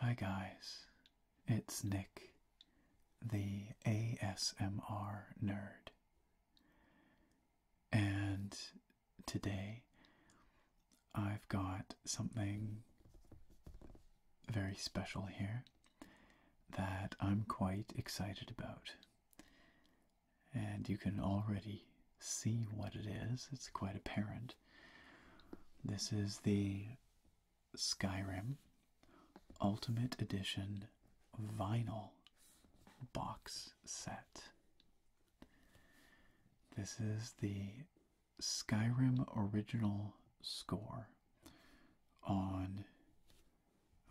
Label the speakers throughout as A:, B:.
A: Hi, guys. It's Nick, the ASMR nerd. And today I've got something very special here that I'm quite excited about. And you can already see what it is, it's quite apparent. This is the Skyrim Ultimate Edition vinyl box set. This is the Skyrim original score on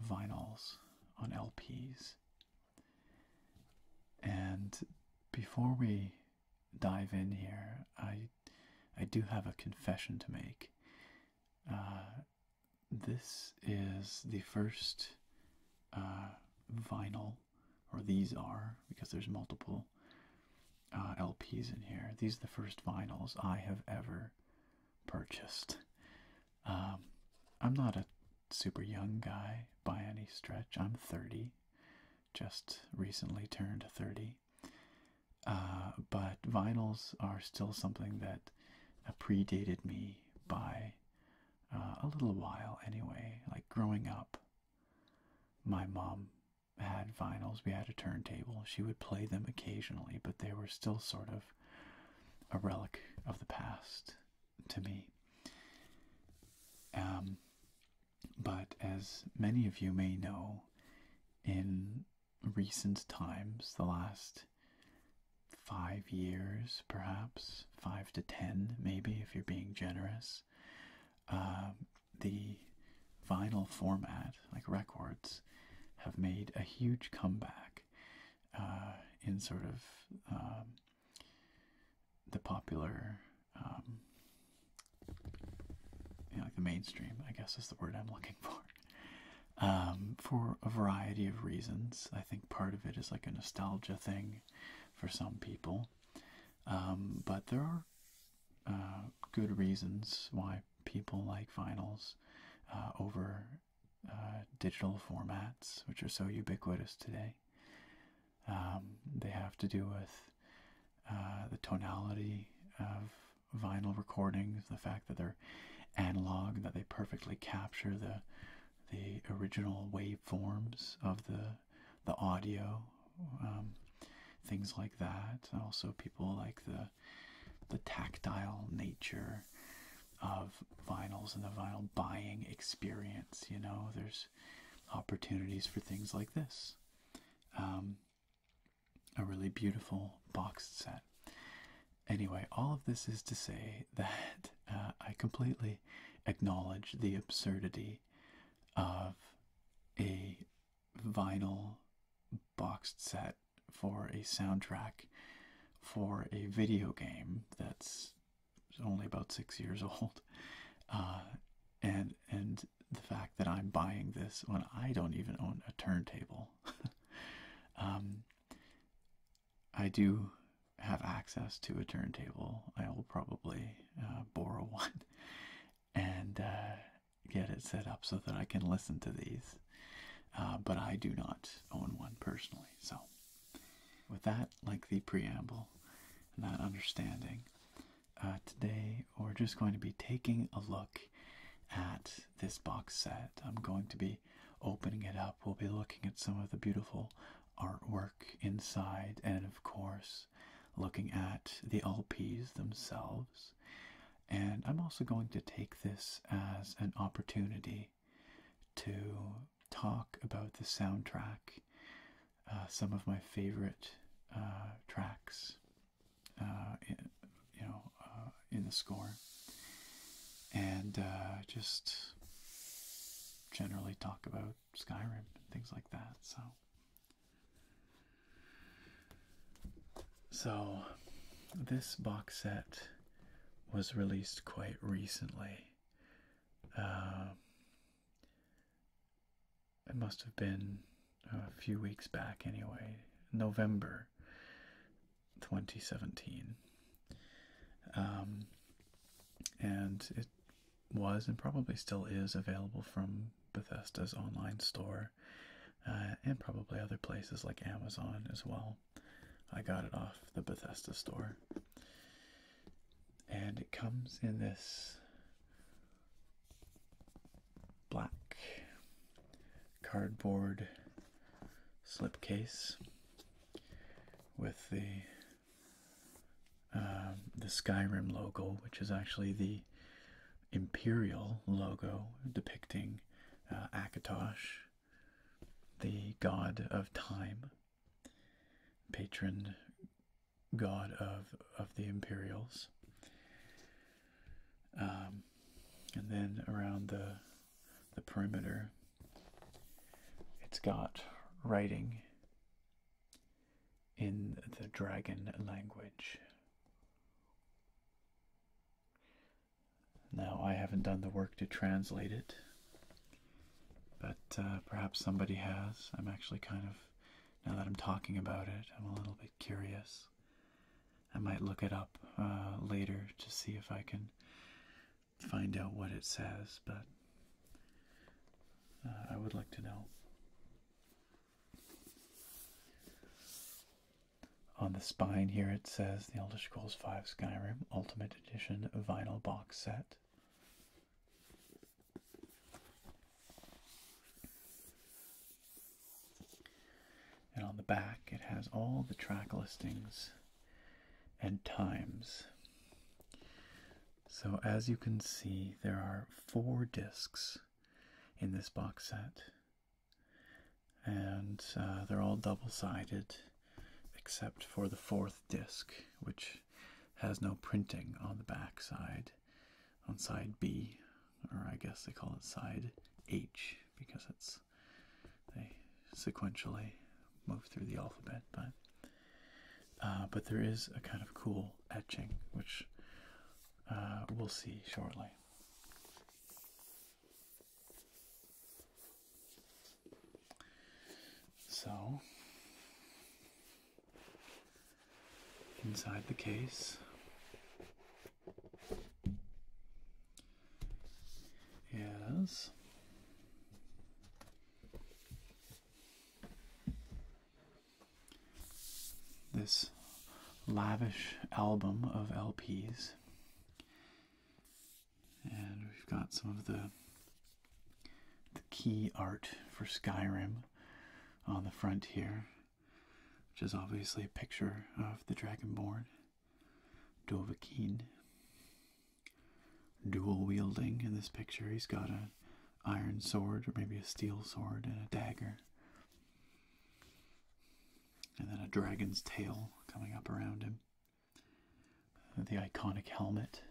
A: vinyls, on LPs. And before we dive in here, I I do have a confession to make. Uh, this is the first uh, vinyl or these are, because there's multiple uh, LPs in here. These are the first vinyls I have ever purchased. Um, I'm not a super young guy by any stretch. I'm 30, just recently turned 30. Uh, but vinyls are still something that predated me by uh, a little while anyway. Like growing up, my mom had vinyls, we had a turntable. She would play them occasionally, but they were still sort of a relic of the past to me. Um, but as many of you may know, in recent times, the last five years, perhaps five to ten, maybe, if you're being generous, uh, the vinyl format, like records, have made a huge comeback uh, in sort of um, the popular, um, like the mainstream, I guess is the word I'm looking for. Um, for a variety of reasons. I think part of it is like a nostalgia thing for some people. but there are uh, good reasons why people like vinyls uh, over uh, digital formats, which are so ubiquitous today. Um, they have to do with the tonality of vinyl recordings, the fact that they're analog, that they perfectly capture the the original waveforms of the the audio, um, things like that. Also, people like the the tactile nature of vinyls and the vinyl buying experience. You know, there's opportunities for things like this. Um, a really beautiful box set. Anyway, all of this is to say that uh, I completely acknowledge the absurdity of a vinyl boxed set for a soundtrack for a video game that's only about six years old, uh, and and the fact that I'm buying this when I don't even own a turntable, um, I do have access to a turntable. I will probably uh, borrow one, and uh, get it set up so that I can listen to these. Uh, but I do not own one personally. So, with that like the preamble and that understanding, uh, today we're just going to be taking a look at this box set. I'm going to be opening it up. We'll be looking at some of the beautiful artwork inside, and of course, looking at the LPs themselves. And I'm also going to take this as an opportunity to talk about the soundtrack, uh, some of my favorite uh, tracks, uh, in, you know, in the score, and just generally talk about Skyrim and things like that. So, so this box set was released quite recently. Uh, it must have been a few weeks back, anyway, November 2017. Um, and it was and probably still is available from Bethesda's online store uh, and probably other places like Amazon as well. I got it off the Bethesda store. And it comes in this black cardboard slipcase with the um, the Skyrim logo, which is actually the Imperial logo depicting uh, Akatosh, the god of time, patron god of of the Imperials. Um, and then around the the perimeter, it's got writing in the dragon language. Now, I haven't done the work to translate it, but uh, perhaps somebody has. I'm actually kind of, now that I'm talking about it, I'm a little bit curious. I might look it up uh, later to see if I can find out what it says, but uh, I would like to know. On the spine here it says The Elder Scrolls V Skyrim Ultimate Edition Vinyl Box Set. And on the back it has all the track listings and times. So as you can see, there are four discs in this box set. And uh, they're all double sided except for the fourth disc, which has no printing on the back side, on side B, or I guess they call it side H because it's they sequentially move through the alphabet, but uh, but there is a kind of cool etching which uh, we'll see shortly. So, inside the case is this lavish album of LPs. And we've got some of the the key art for Skyrim on the front here, which is obviously a picture of the Dragonborn, Dovahkiin, dual wielding in this picture. He's got a iron sword or maybe a steel sword and a dagger. And then a dragon's tail coming up around him. The iconic helmet.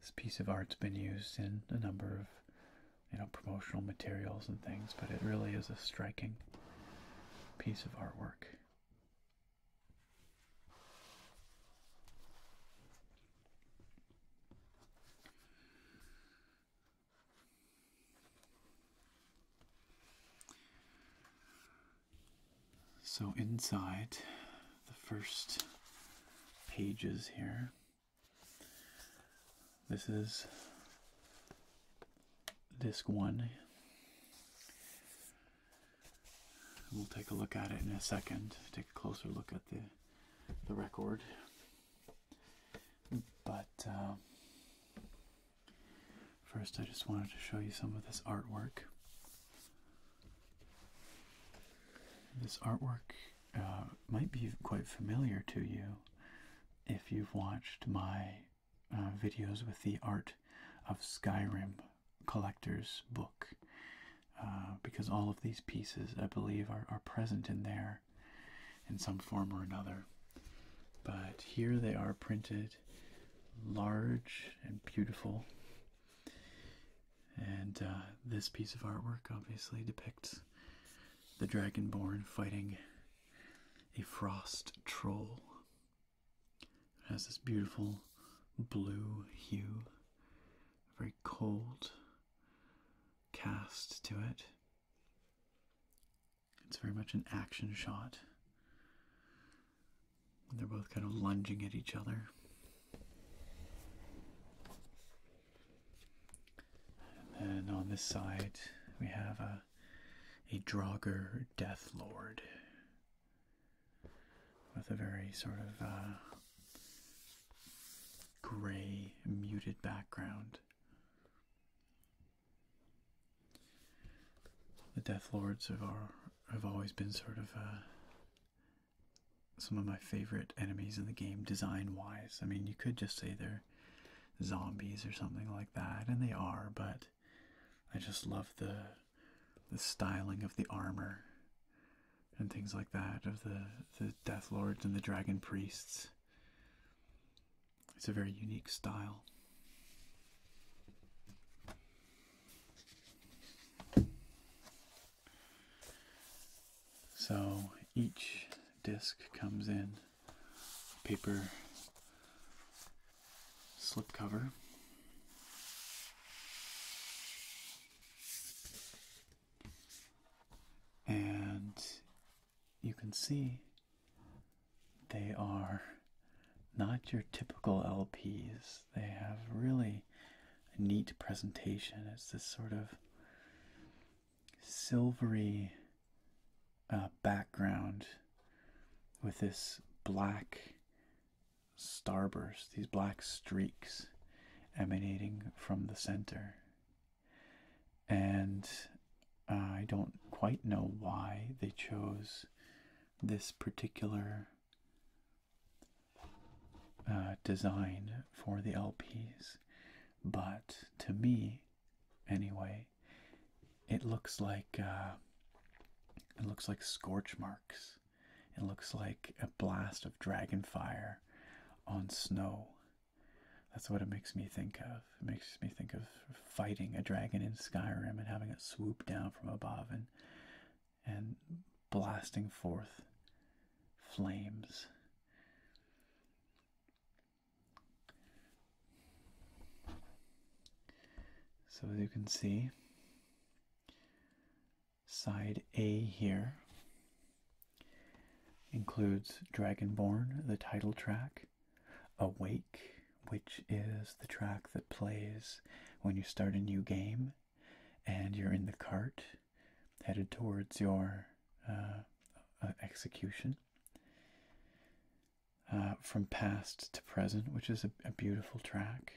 A: This piece of art's been used in a number of you know promotional materials and things, but it really is a striking piece of artwork. So inside the first pages here, this is disc one. We'll take a look at it in a second, take a closer look at the, the record. But uh, first, I just wanted to show you some of this artwork. This artwork uh, might be quite familiar to you if you've watched my uh, videos with the art of Skyrim collector's book uh, because all of these pieces, I believe, are, present in there in some form or another. But here they are printed large and beautiful. And uh, this piece of artwork obviously depicts the dragonborn fighting a frost troll. It has this beautiful blue hue, very cold cast to it. It's very much an action shot. They're both kind of lunging at each other. And then on this side, we have a, a Draugr Death Lord with a very sort of uh, gray, muted background. The Death Lords have, are, have always been sort of uh, some of my favorite enemies in the game, design wise. I mean, you could just say they're zombies or something like that, and they are, but I just love the the styling of the armor and things like that of the the death lords and the dragon priests it's a very unique style so each disc comes in paper slipcover and you can see they are not your typical LPs. They have really neat presentation. It's this sort of silvery uh, background with this black starburst, these black streaks emanating from the center. And I don't quite know why they chose this particular uh, design for the LPs, but to me, anyway, it looks like uh, it looks like scorch marks it looks like a blast of dragon fire on snow. That's what it makes me think of. It makes me think of fighting a dragon in Skyrim and having it swoop down from above and and blasting forth flames. So as you can see, side A here includes Dragonborn, the title track, Awake, which is the track that plays when you start a new game and you're in the cart headed towards your uh, uh, execution. Uh, from past to present, which is a beautiful track.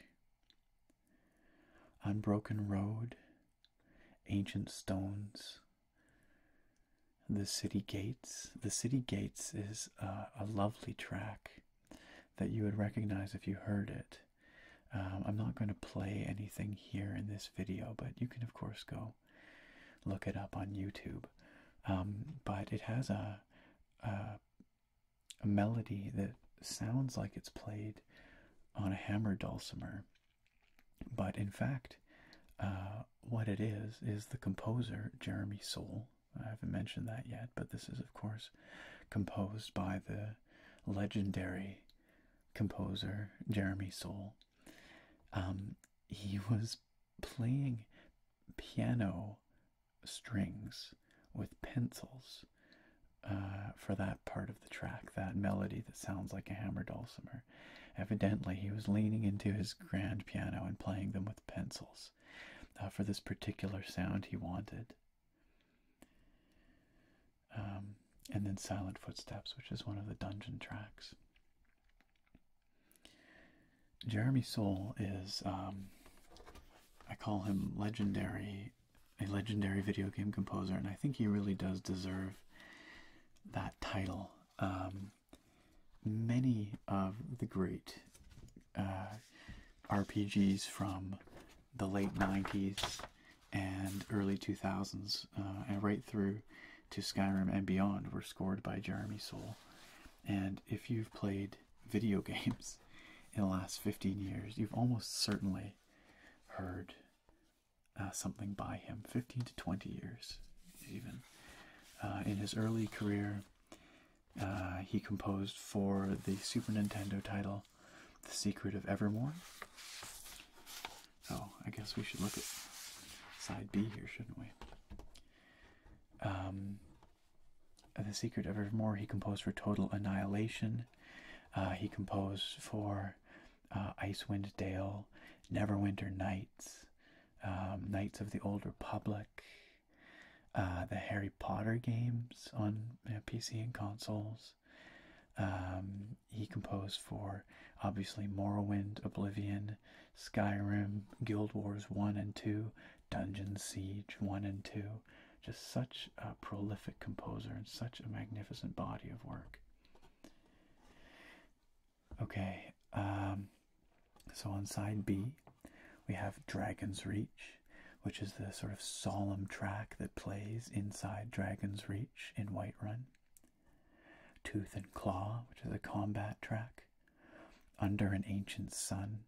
A: Unbroken road, ancient stones, the city gates. The city gates is a, lovely track that you would recognize if you heard it. Um, I'm not going to play anything here in this video, but you can, of course, go look it up on YouTube. Um, but it has a a melody that sounds like it's played on a hammer dulcimer, but in fact, uh, what it is is the composer Jeremy Soule. I haven't mentioned that yet, but this is, of course, composed by the legendary composer Jeremy Soule. Um, he was playing piano strings with pencils uh, for that part of the track, that melody that sounds like a hammer dulcimer. Evidently, he was leaning into his grand piano and playing them with pencils uh, for this particular sound he wanted. Um, and then Silent Footsteps, which is one of the dungeon tracks. Jeremy Soule is, um, I call him legendary a legendary video game composer, and I think he really does deserve that title. Um, many of the great uh, RPGs from the late 90s and early 2000s, uh, and right through to Skyrim and beyond, were scored by Jeremy Soule. And if you've played video games in the last 15 years, you've almost certainly heard uh, something by him 15 to 20 years, even. Uh, in his early career, uh, he composed for the Super Nintendo title The Secret of Evermore. Oh, I guess we should look at side B here, shouldn't we? Um, the Secret of Evermore, he composed for Total Annihilation uh, he composed for uh, Icewind Dale, Neverwinter Nights, um, Knights of the Old Republic, uh, the Harry Potter games on PC and consoles. Um, he composed for obviously Morrowind, Oblivion, Skyrim, Guild Wars 1 and 2, Dungeon Siege 1 and 2, just such a prolific composer and such a magnificent body of work. Okay, um, so on side B, we have Dragon's Reach, which is the sort of solemn track that plays inside Dragon's Reach in Whiterun. Tooth and Claw, which is a combat track. Under an Ancient Sun,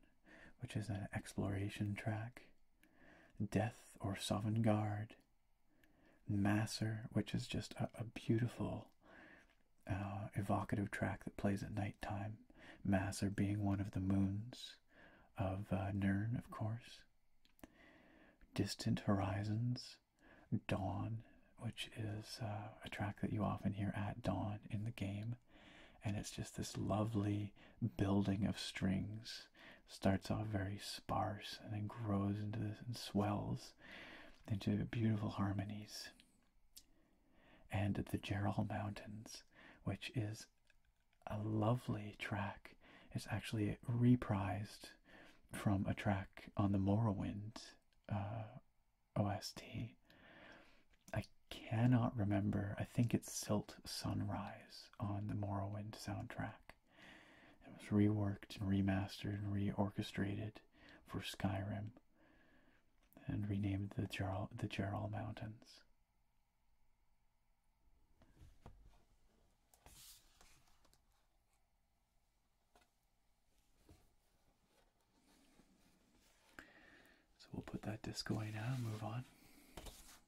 A: which is an exploration track. Death or Sovereign Guard. Masser, which is just a, beautiful, uh, evocative track that plays at nighttime. Masser being one of the moons of uh, Nern, of course. Distant Horizons, Dawn, which is uh, a track that you often hear at dawn in the game. And it's just this lovely building of strings starts off very sparse and then grows into this and swells into beautiful harmonies. And the Gerald Mountains, which is a lovely track, is actually reprised from a track on the Morrowind uh, OST. I cannot remember. I think it's Silt Sunrise on the Morrowind soundtrack. It was reworked and remastered and reorchestrated for Skyrim and renamed the Gerald, the Gerald Mountains. So we'll put that disc away now and move on.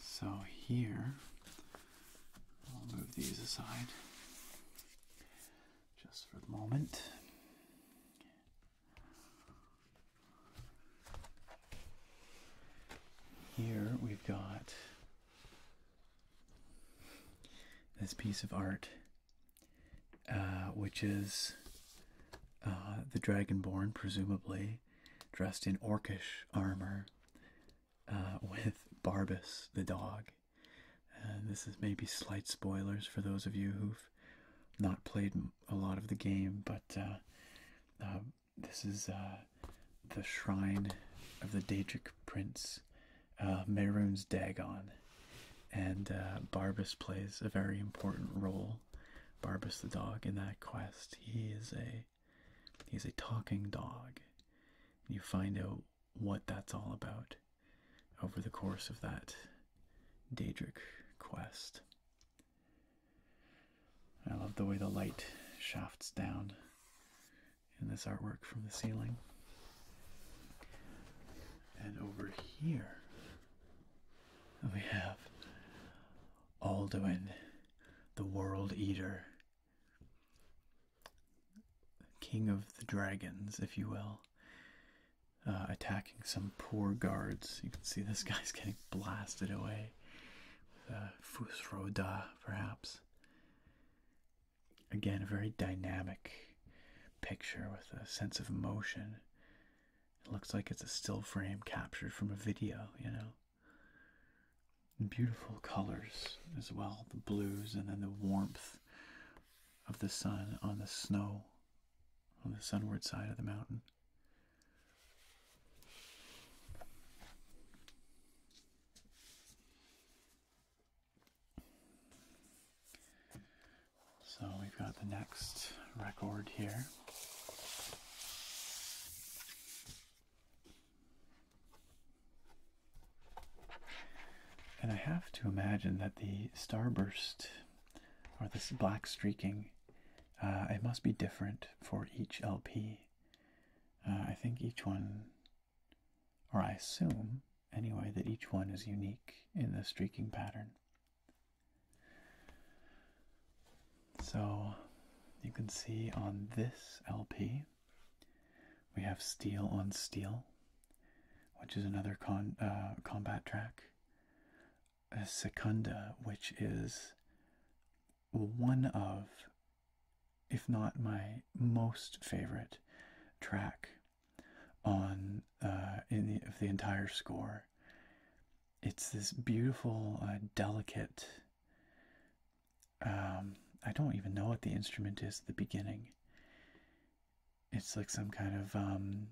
A: So here, I'll move these aside just for the moment. Here we've got this piece of art, uh, which is uh, the Dragonborn, presumably dressed in orcish armor uh, with Barbus the dog. And this is maybe slight spoilers for those of you who've not played a lot of the game, but uh, uh, this is the shrine of the Daedric Prince, uh, Maroon's Dagon. And Barbus plays a very important role Barbus the dog in that quest. He is a he's a talking dog. You find out what that's all about over the course of that Daedric quest. I love the way the light shafts down in this artwork from the ceiling. And over here we have Alduin, the World Eater, King of the Dragons, if you will, uh, attacking some poor guards. You can see this guy's getting blasted away. With, perhaps. Again, a very dynamic picture with a sense of motion. It looks like it's a still frame captured from a video, you know beautiful colors as well the blues and then the warmth of the sun on the snow on the sunward side of the mountain. So we've got the next record here. And I have to imagine that the starburst or this black streaking, uh, it must be different for each LP. Uh, I think each one, or I assume anyway, that each one is unique in the streaking pattern. So you can see on this LP, we have Steel on Steel, which is another uh, combat track. Secunda, which is one of, if not my most favorite track on uh, in of the entire score it's this beautiful, uh, delicate. Um, I don't even know what the instrument is at the beginning. It's like some kind of. Um,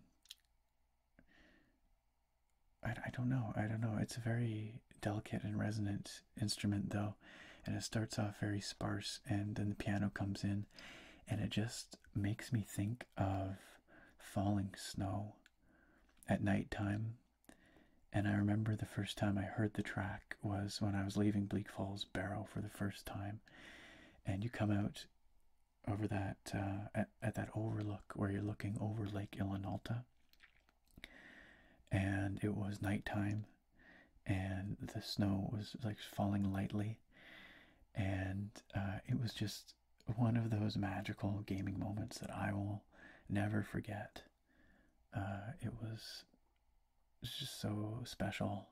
A: I, I don't know. I don't know. It's a very delicate and resonant instrument, though. And it starts off very sparse, and then the piano comes in, and it just makes me think of falling snow at nighttime and I remember the first time I heard the track was when I was leaving Bleak Falls Barrow for the first time. And you come out over that uh, at, that overlook where you're looking over Lake Illinalta. And it was nighttime and the snow was like falling lightly. And uh, it was just one of those magical gaming moments that I will never forget. Uh, it was just so special.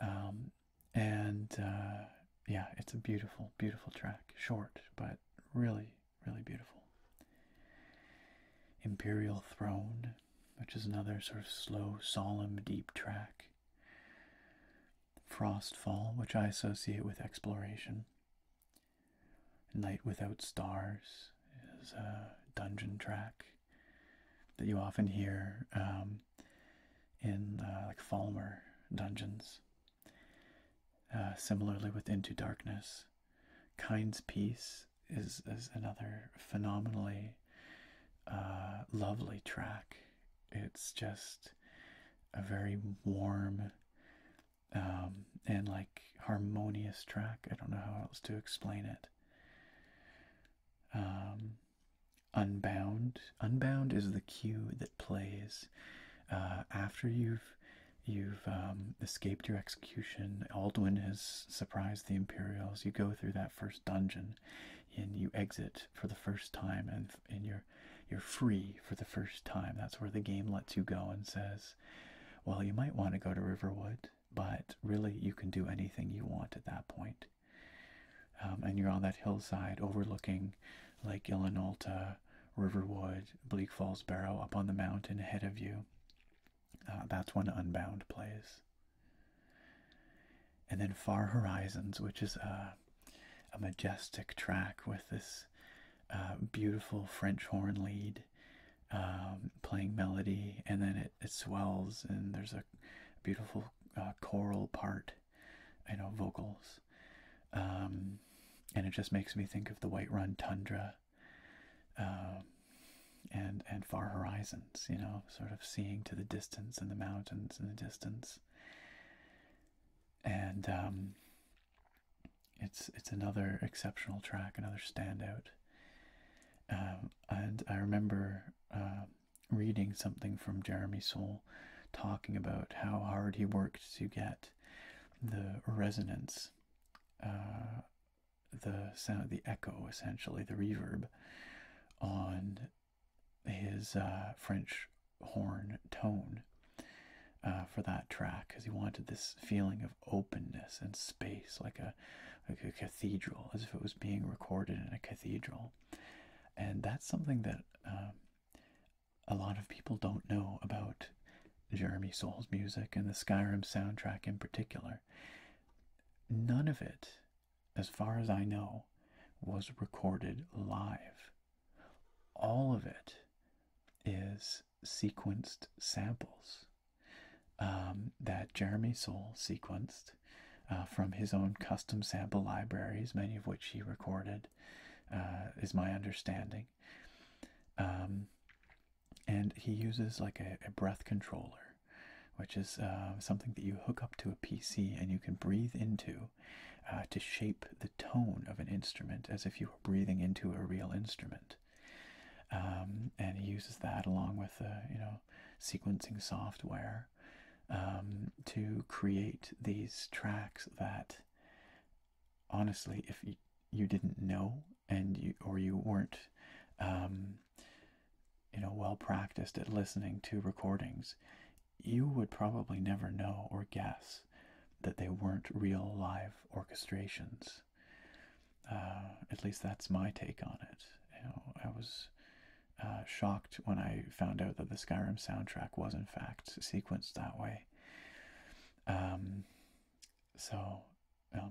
A: Um, and uh, yeah, it's a beautiful, beautiful track. Short, but really, really beautiful. Imperial Throne, which is another sort of slow, solemn, deep track. Frostfall, which I associate with exploration. Night Without Stars is a dungeon track that you often hear um, in uh, like Falmer dungeons. Uh, similarly, with Into Darkness, Kind's Peace is, is another phenomenally uh, lovely track. It's just a very warm, um, and like harmonious track. I don't know how else to explain it. Um, Unbound. Unbound is the cue that plays uh, after you've you've um, escaped your execution. Alduin has surprised the Imperials. You go through that first dungeon, and you exit for the first time, and and you're you're free for the first time. That's where the game lets you go and says, well, you might want to go to Riverwood, but really you can do anything you want at that point. Um, and you're on that hillside overlooking Lake Illinolta, Riverwood, Bleak Falls Barrow up on the mountain ahead of you. Uh, that's one Unbound place. And then Far Horizons, which is a majestic track with this um, beautiful French horn lead um, playing melody, and then it, it swells, and there's a beautiful uh, choral part, you know, vocals. Um, and it just makes me think of the White Run Tundra and, and Far Horizons, you know, sort of seeing to the distance and the mountains in the distance. And it's it's another exceptional track, another standout. Um, and I remember uh, reading something from Jeremy Soule talking about how hard he worked to get the resonance, uh, the sound, the echo, essentially the reverb on his uh, French horn tone uh, for that track because he wanted this feeling of openness and space, like a a cathedral, as if it was being recorded in a cathedral. And that's something that um, a lot of people don't know about Jeremy Soule's music and the Skyrim soundtrack in particular. None of it, as far as I know, was recorded live. All of it is sequenced samples um, that Jeremy Sol sequenced uh, from his own custom sample libraries, many of which he recorded, uh, is my understanding. Um, and he uses like a, breath controller, which is uh, something that you hook up to a PC and you can breathe into to shape the tone of an instrument as if you were breathing into a real instrument. Um, and he uses that along with uh, you know sequencing software um, to create these tracks that honestly if you, didn't know and you or you weren't um, you know well practiced at listening to recordings you would probably never know or guess that they weren't real live orchestrations. Uh, at least that's my take on it. You know, I was uh, shocked when I found out that the Skyrim soundtrack was in fact sequenced that way. Um, so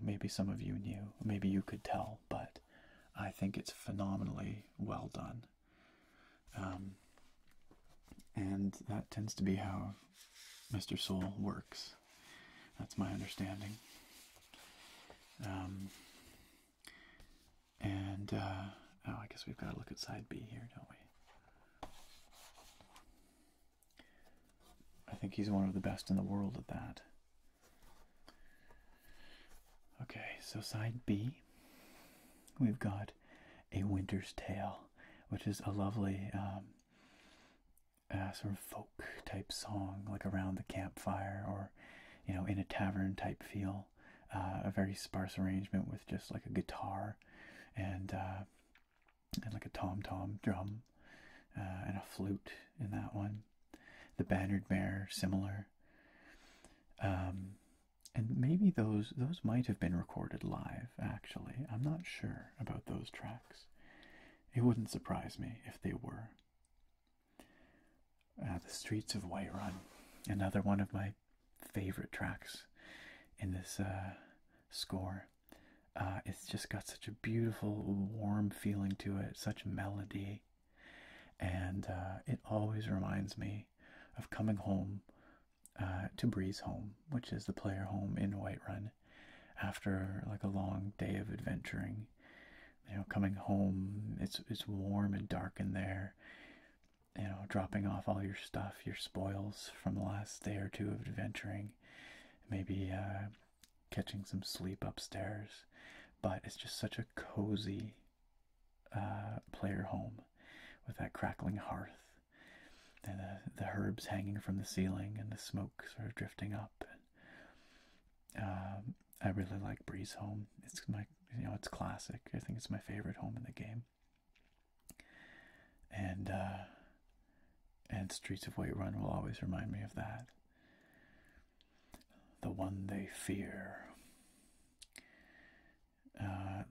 A: maybe some of you knew, maybe you could tell, but I think it's phenomenally well done. Um, and that tends to be how Mr. Soul works. That's my understanding. Um, and, uh, oh, I guess we've got to look at side B here, don't we? I think he's one of the best in the world at that. Okay, so side B, we've got A Winter's Tale, which is a lovely um, uh, sort of folk type song, like around the campfire or, you know, in a tavern type feel. Uh, a very sparse arrangement with just like a guitar and uh, and like a tom tom drum uh, and a flute in that one. The Bannered Mare, similar. Um, and maybe those those might have been recorded live. Actually, I'm not sure about those tracks. It wouldn't surprise me if they were. Uh, the Streets of Whiterun, another one of my favorite tracks in this uh, score. Uh, it's just got such a beautiful, warm feeling to it, such melody, and it always reminds me of coming home to Bree's home, which is the player home in Whiterun after like a long day of adventuring. You know, coming home, it's it's warm and dark in there. You know, dropping off all your stuff, your spoils from the last day or two of adventuring, maybe uh, catching some sleep upstairs. But it's just such a cozy uh, player home with that crackling hearth and the, the herbs hanging from the ceiling and the smoke sort of drifting up. Um, I really like Breeze home. It's my, you know, it's classic. I think it's my favorite home in the game. And uh, and Streets of Whiterun will always remind me of that. The one they fear. Uh,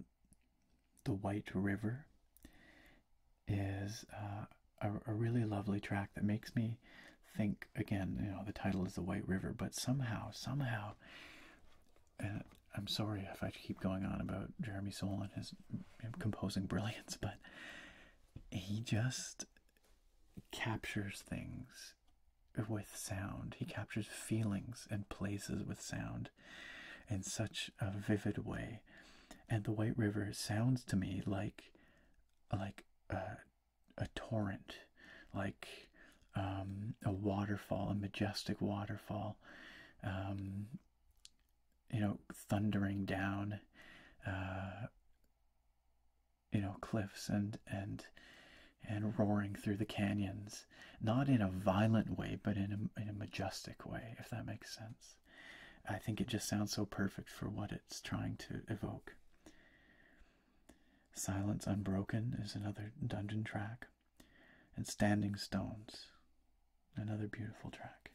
A: the White River is uh, a, really lovely track that makes me think again. You know, the title is The White River, but somehow, somehow, and I'm sorry if I keep going on about Jeremy Soule and his composing brilliance, but he just captures things with sound. He captures feelings and places with sound in such a vivid way and the white river sounds to me like like a, torrent like um, a waterfall a majestic waterfall um, you know thundering down uh, you know cliffs and and and roaring through the canyons not in a violent way but in a, in a majestic way if that makes sense I think it just sounds so perfect for what it's trying to evoke. Silence Unbroken is another dungeon track, and Standing Stones, another beautiful track.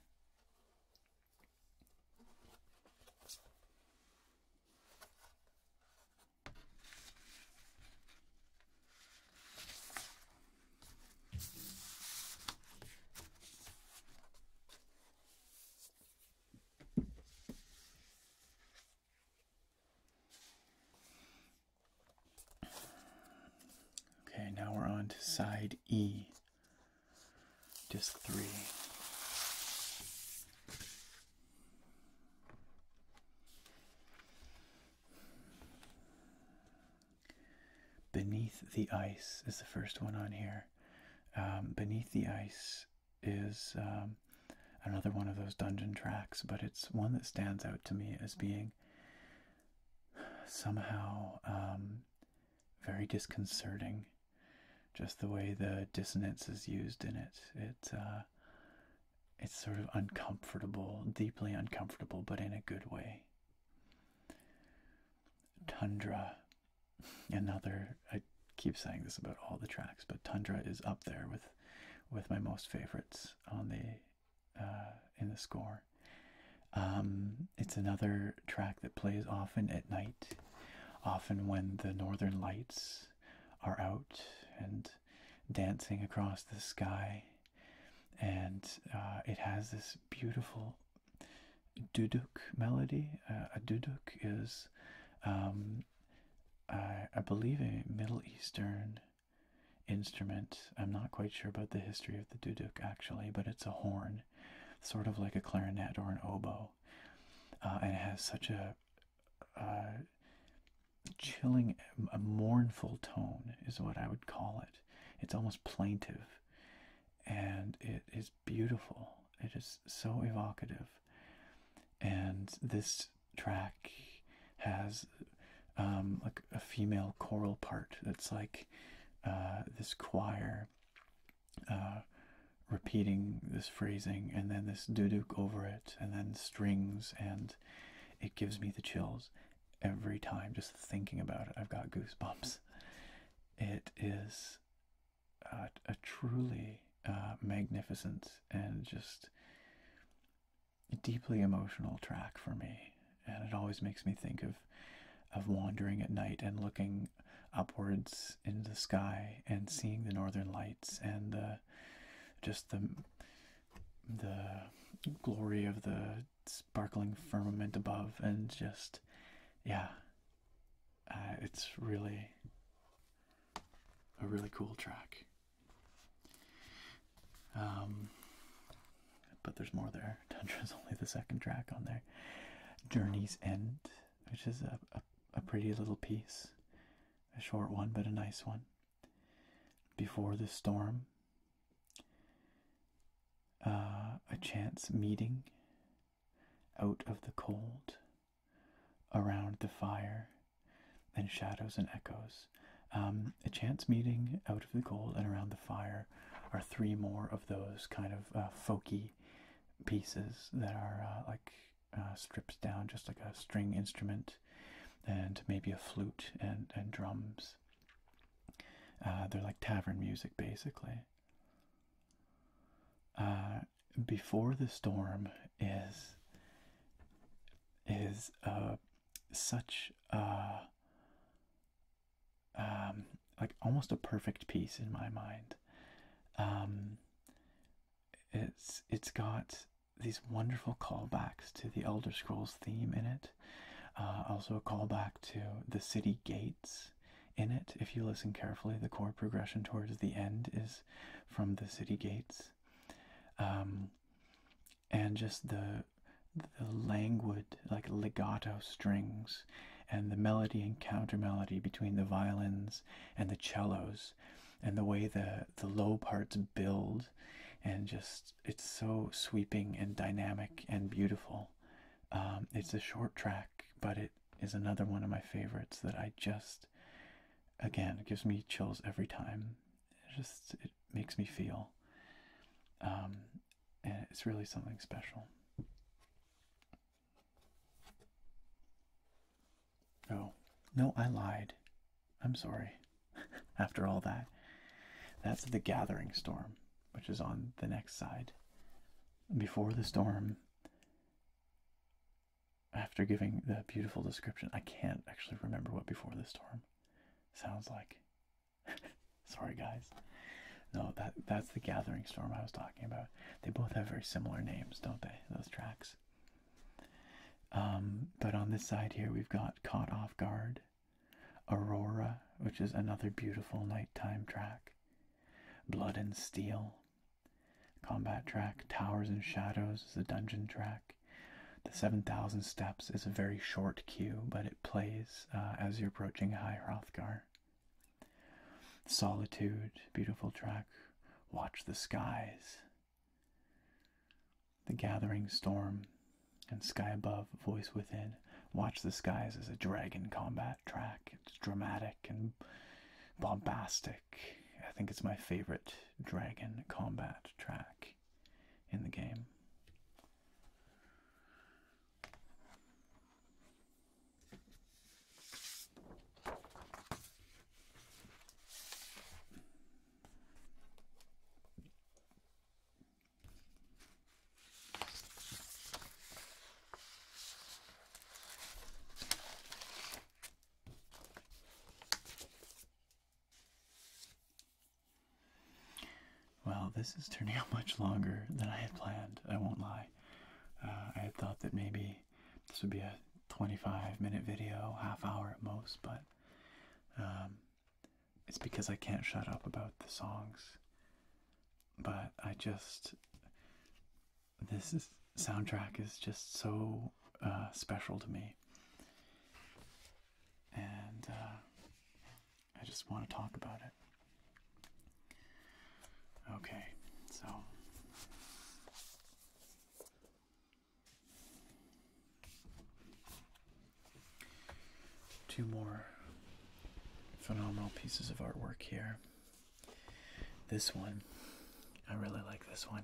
A: Okay, now we're on to side E, disc three. Beneath the Ice is the first one on here. Um, beneath the Ice is um, another one of those dungeon tracks, but it's one that stands out to me as being somehow um, very disconcerting. Just the way the dissonance is used in it. Uh, it's sort of uncomfortable, deeply uncomfortable, but in a good way. Tundra, another. I keep saying this about all the tracks, but Tundra is up there with with my most favorites on the uh, in the score. Um, it's another track that plays often at night, often when the northern lights are out and dancing across the sky, and uh, it has this beautiful duduk melody. Uh, a duduk is, um, I, believe, a Middle Eastern instrument. I'm not quite sure about the history of the duduk actually, but it's a horn, sort of like a clarinet or an oboe, uh, and it has such a, a chilling, a mournful tone, is what I would call it. It's almost plaintive and it is beautiful. It is so evocative. And this track has um, like a female choral part It's like uh, this choir uh, repeating this phrasing, and then this duduk over it, and then strings, and it gives me the chills every time just thinking about it. I've got goosebumps it is uh, a, truly uh, magnificent and just deeply emotional track for me. And it always makes me think of of wandering at night and looking upwards in the sky and seeing the northern lights and the just the the glory of the sparkling firmament above, and just yeah, uh, it's really a really cool track. Um, but there's more there. is only the second track on there. Journey's End, which is a, a pretty little piece, a short one, but a nice one. Before the Storm, uh, a chance meeting out of the cold around the fire and shadows and echoes. Um, a chance meeting out of the cold and around the fire are three more of those kind of uh, folky pieces that are uh, like uh, stripped down, just like a string instrument and maybe a flute and, and drums. Uh, they're like tavern music basically. Uh, before the storm is is uh, such a um, like almost a perfect piece in my mind. Um, it's it's got these wonderful callbacks to the Elder Scrolls theme in it. Uh, also a callback to the city gates in it, if you listen carefully, the chord progression towards the end is from the city gates. Um, and just the the languid, like legato strings, and the melody and counter melody between the violins and the cellos, and the way the the low parts build, and just it's so sweeping and dynamic and beautiful. Um, it's a short track, but it is another one of my favorites that I just, again, it gives me chills every time. It just it makes me feel, um, and it's really something special. No, oh, no, I lied. I'm sorry. After all that, that's the Gathering Storm, which is on the next side before the storm after giving the beautiful description i can't actually remember what before the storm sounds like sorry guys no that that's the gathering storm i was talking about they both have very similar names don't they those tracks um, but on this side here we've got caught off guard aurora which is another beautiful nighttime track Blood and Steel. Combat track Towers and Shadows is the dungeon track. The 7,000 Steps is a very short cue, but it plays uh, as you're approaching High Hrothgar. Solitude, beautiful track. Watch the Skies. The Gathering Storm and Sky Above, Voice Within. Watch the skies as a dragon combat track. It's dramatic and bombastic. I think it's my favorite dragon combat track in the game. Well, this is turning out much longer than I had planned, I won't lie. Uh, I had thought that maybe this would be a 25 minute video, half hour at most, but um, it's because I can't shut up about the songs but I just this soundtrack is just so uh, special to me, and uh, I just want to talk about it. Okay, so. Two more phenomenal pieces of artwork here. This one, I really like this one.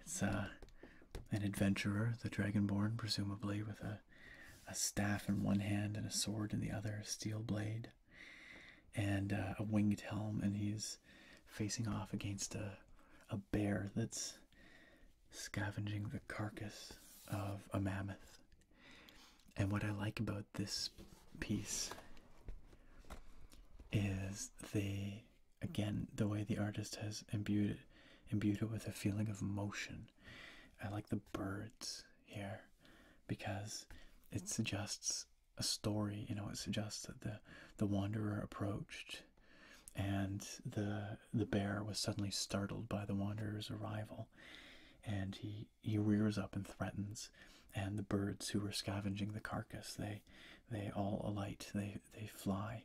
A: It's uh, an adventurer, the Dragonborn, presumably, with a, a staff in one hand and a sword in the other, a steel blade, and uh, a winged helm, and he's facing off against a, a bear that's scavenging the carcass of a mammoth. And what I like about this piece is the again the way the artist has imbued it, imbued it with a feeling of motion. I like the birds here because it suggests a story. You know, it suggests that the the wanderer approached and the the bear was suddenly startled by the wanderer's arrival and he he rears up and threatens, and the birds who are scavenging the carcass they they all alight, they they fly,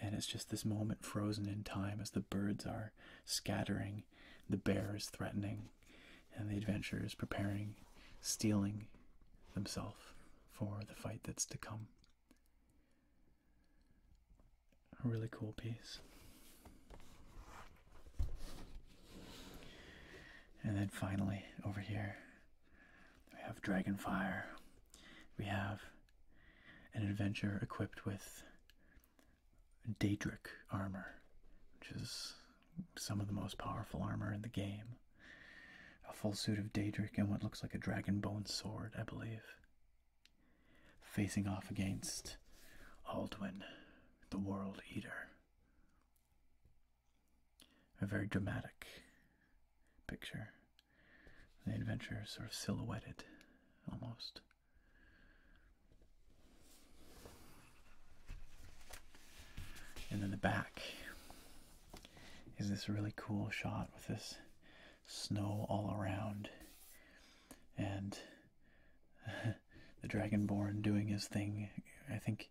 A: and it's just this moment frozen in time as the birds are scattering, the bear is threatening, and the adventurer is preparing, stealing himself, for the fight that's to come. A really cool piece. And then finally, over here, we have Dragonfire. We have an adventurer equipped with Daedric armor, which is some of the most powerful armor in the game. A full suit of Daedric and what looks like a dragonbone sword, I believe. Facing off against Aldwin, the World Eater a very dramatic picture. The adventure is sort of silhouetted almost. And then the back is this really cool shot with this snow all around and the Dragonborn doing his thing. I think,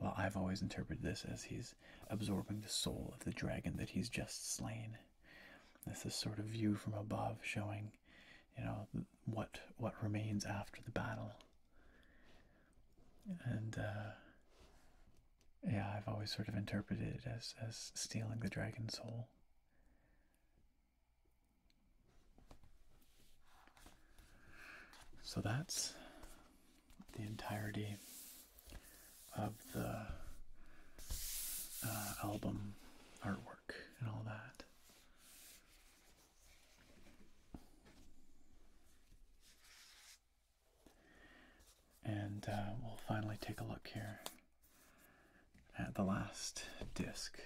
A: well, I've always interpreted this as he's absorbing the soul of the dragon that he's just slain. This is sort of view from above, showing, you know, what what remains after the battle. And uh, yeah, I've always sort of interpreted it as as stealing the dragon's soul. So that's the entirety of the uh, album artwork and all that. And uh, we'll finally take a look here at the last disc.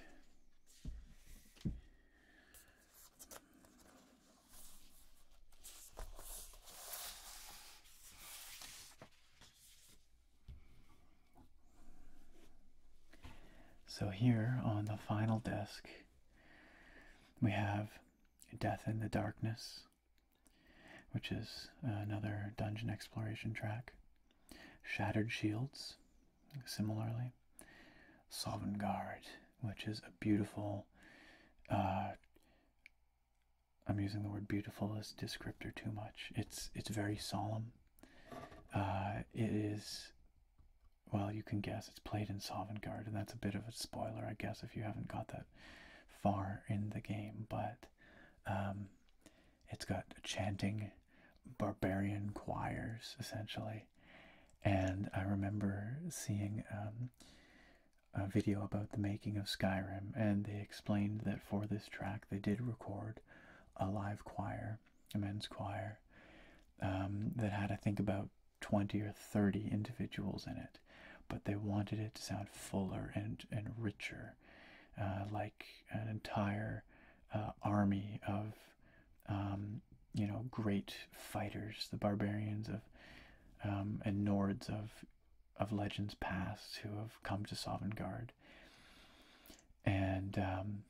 A: So here on the final disc, we have Death in the Darkness, which is another dungeon exploration track. Shattered Shields, Similarly, Sovengard, which is a beautiful, uh, I'm using the word beautiful as descriptor too much. It's it's very solemn. Uh, it is, well, you can guess it's played in Sovengard, and that's a bit of a spoiler, I guess, if you haven't got that far in the game. But um, it's got chanting barbarian choirs essentially and i remember seeing um, a video about the making of skyrim and they explained that for this track they did record a live choir a men's choir um, that had i think about 20 or 30 individuals in it but they wanted it to sound fuller and, and richer uh, like an entire uh, army of um, you know, great fighters, the barbarians of um, and Nords of of legends past who have come to Sovengard. and um,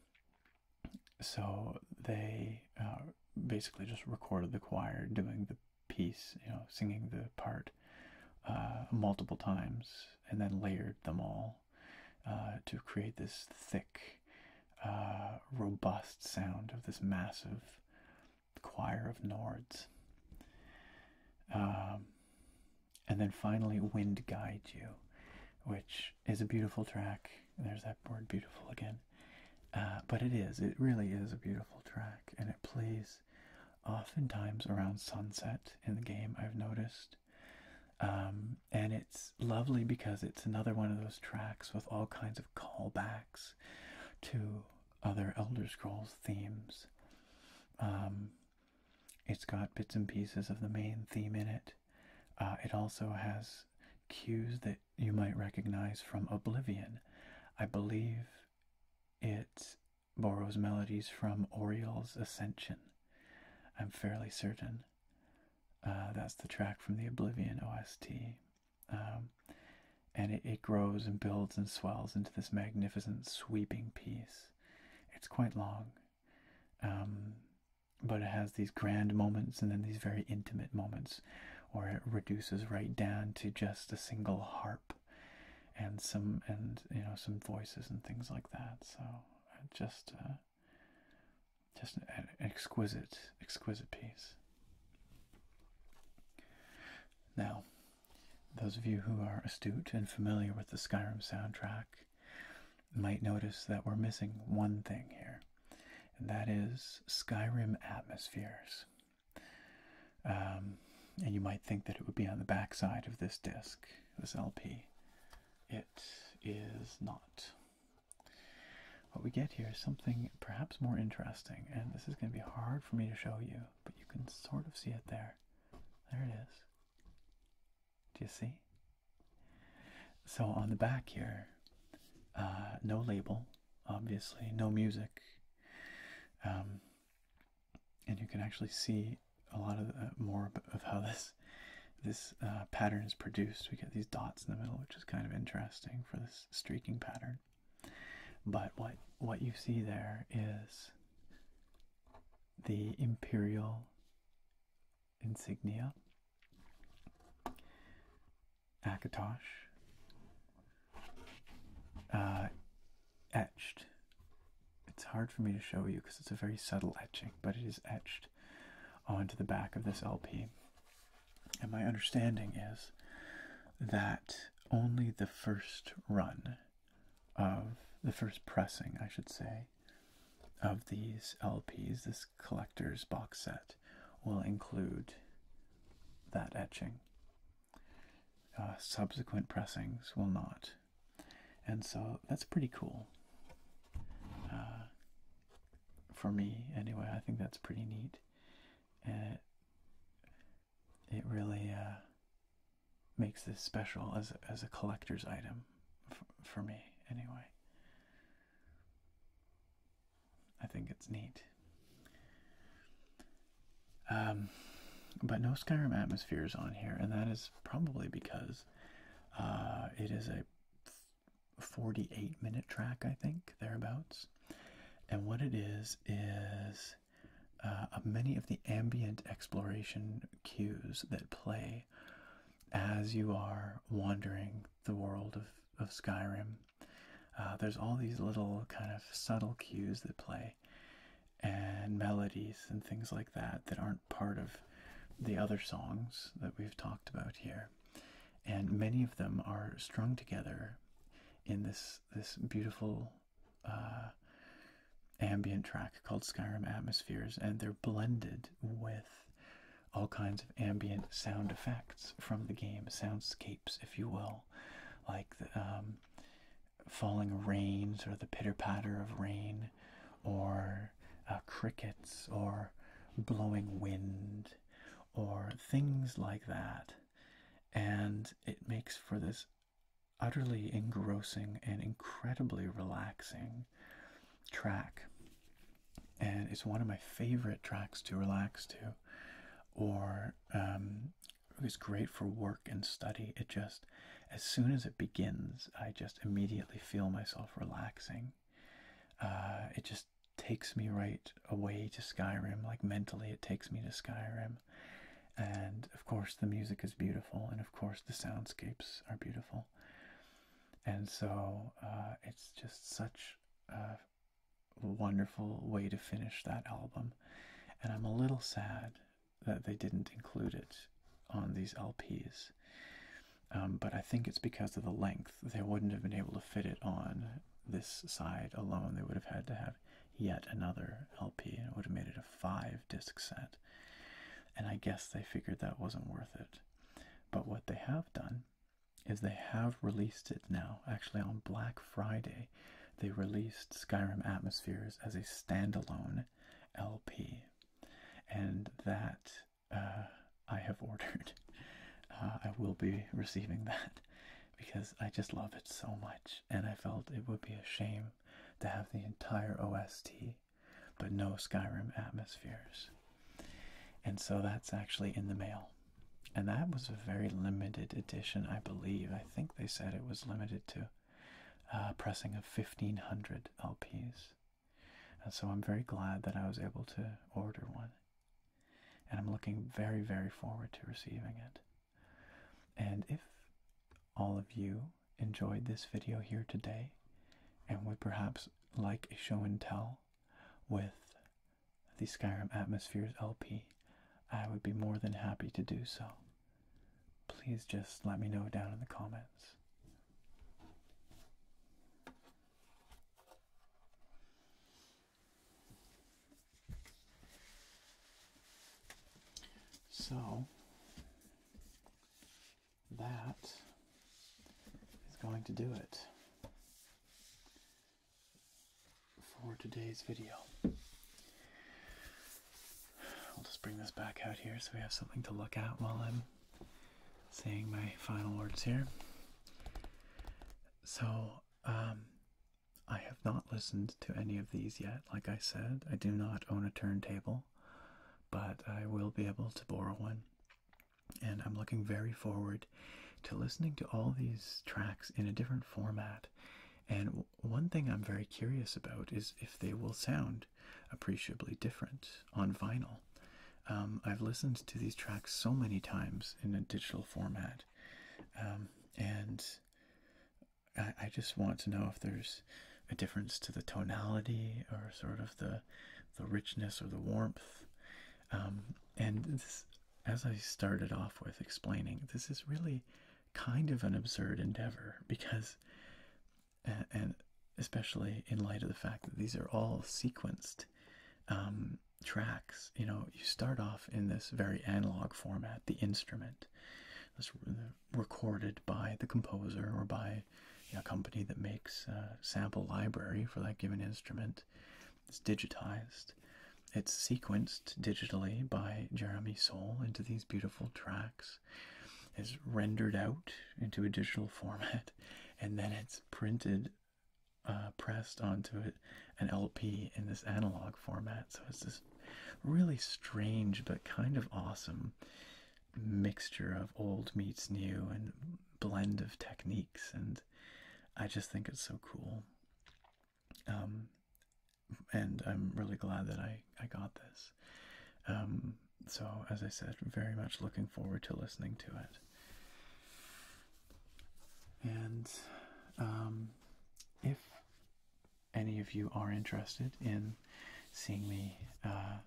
A: so they uh, basically just recorded the choir doing the piece, you know, singing the part uh, multiple times, and then layered them all uh, to create this thick uh, robust sound of this massive choir of Nords. Um, and then finally, Wind Guide You, which is a beautiful track. There's that word beautiful again. Uh, but it is, it really is a beautiful track, and it plays oftentimes around sunset in the game, I've noticed. Um, and it's lovely because it's another one of those tracks with all kinds of callbacks to other Elder Scrolls themes. Um, it's got bits and pieces of the main theme in it. Uh, it also has cues that you might recognize from Oblivion. I believe it borrows melodies from Oriole's Ascension. I'm fairly certain. Uh, that's the track from the Oblivion OST. Um, and it, grows and builds and swells into this magnificent sweeping piece. It's quite long, um, but it has these grand moments and then these very intimate moments, or it reduces right down to just a single harp and some and you know some voices and things like that. So uh, just uh, just an exquisite, exquisite piece. Now, those of you who are astute and familiar with the Skyrim soundtrack might notice that we're missing one thing here, and that is Skyrim atmospheres. Um, and you might think that it would be on the backside of this disc, this LP. It is not. What we get here is something perhaps more interesting, and this is going to be hard for me to show you, but you can sort of see it there. There it is. Do you see? So on the back here, uh, no label, obviously, no music. Um, and you can actually see a lot of uh, more of how this this uh, pattern is produced. We get these dots in the middle, which is kind of interesting for this streaking pattern. But what what you see there is the imperial insignia, Akatosh, uh, etched. It's hard for me to show you because it's a very subtle etching, but it is etched onto the back of this LP. And my understanding is that only the first run of the first pressing, I should say, of these LPs, this collector's box set, will include that etching. Uh, subsequent pressings will not. And so that's pretty cool. Uh, for me anyway i think that's pretty neat and it, really uh, makes this special as, as a collector's item for me anyway i think it's neat um, but no skyrim atmospheres on here and that is probably because uh, it is a 48 minute track, I think, thereabouts. And what it is is uh, many of the ambient exploration cues that play as you are wandering the world of, of Skyrim. Uh, there's all these little kind of subtle cues that play and melodies and things like that that aren't part of the other songs that we've talked about here and many of them are strung together in this this beautiful uh, ambient track called Skyrim Atmospheres, and they're blended with all kinds of ambient sound effects from the game, soundscapes, if you will, like um, falling rains or the pitter patter of rain, or uh, crickets or blowing wind or things like that. And it makes for this utterly engrossing and incredibly relaxing track. And it's one of my favorite tracks to relax to, or um, it's great for work and study. It just, as soon as it begins, I just immediately feel myself relaxing. Uh, it just takes me right away to Skyrim. Like mentally, it takes me to Skyrim. And of course, the music is beautiful, and of course, the soundscapes are beautiful. And so, uh, it's just such a wonderful way to finish that album. And I'm a little sad that they didn't include it on these LPs. Um, but I think it's because of the length. They wouldn't have been able to fit it on this side alone. They would have had to have yet another LP and it would have made it a five disc set. And I guess they figured that wasn't worth it. But what they have done is they have released it now. Actually, on Black Friday, they released Skyrim Atmospheres as a standalone LP. And that uh, I have ordered. Uh, I will be receiving that because I just love it so much, and I felt it would be a shame to have the entire OST but no Skyrim atmospheres. And so that's actually in the mail. And that was a very limited edition, I believe. I think they said it was limited to uh, pressing of 1500 LPs. And so I'm very glad that I was able to order one and I'm looking very, very forward to receiving it. And if all of you enjoyed this video here today and would perhaps like a show and tell with the Skyrim Atmospheres LP, I would be more than happy to do so. Please just let me know down in the comments. So that is going to do it for today's video. I'll just bring this back out here so we have something to look at while I'm saying my final words here. So, um, I have not listened to any of these yet. Like I said, I do not own a turntable, but I will be able to borrow one. And I'm looking very forward to listening to all these tracks in a different format. And one thing I'm very curious about is if they will sound appreciably different on vinyl. Um, I've listened to these tracks so many times in a digital format, um, and I, just want to know if there's a difference to the tonality or sort of the the richness or the warmth. Um, and as I started off with explaining, this is really kind of an absurd endeavor because, and especially in light of the fact that these are all sequenced tracks you know you start off in this very analog format the instrument that's uh, recorded by the composer or by a company that makes a uh, sample library for that given instrument it's digitized it's sequenced digitally by jeremy soul into these beautiful tracks is rendered out into a digital format and then it's printed uh, pressed onto it an LP in this analog format. So it's this really strange but kind of awesome mixture of old meets new and blend of techniques. And I just think it's so cool. Um, and I'm really glad that I, I got this. Um, so, as I said, very much looking forward to listening to it. And um, if any of you are interested in seeing me uh,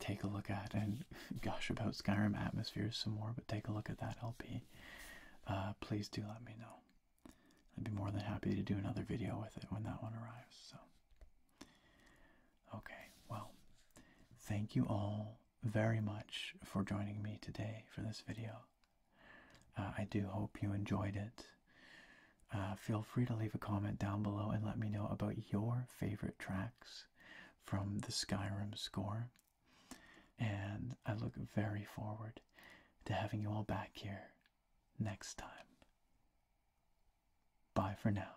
A: take a look at and gush about Skyrim atmospheres some more, but take a look at that LP, uh, please do let me know. I'd be more than happy to do another video with it when that one arrives. So, okay, well, thank you all very much for joining me today for this video. Uh, I do hope you enjoyed it. Uh, feel free to leave a comment down below and let me know about your favorite tracks from the Skyrim score. And I look very forward to having you all back here next time. Bye for now.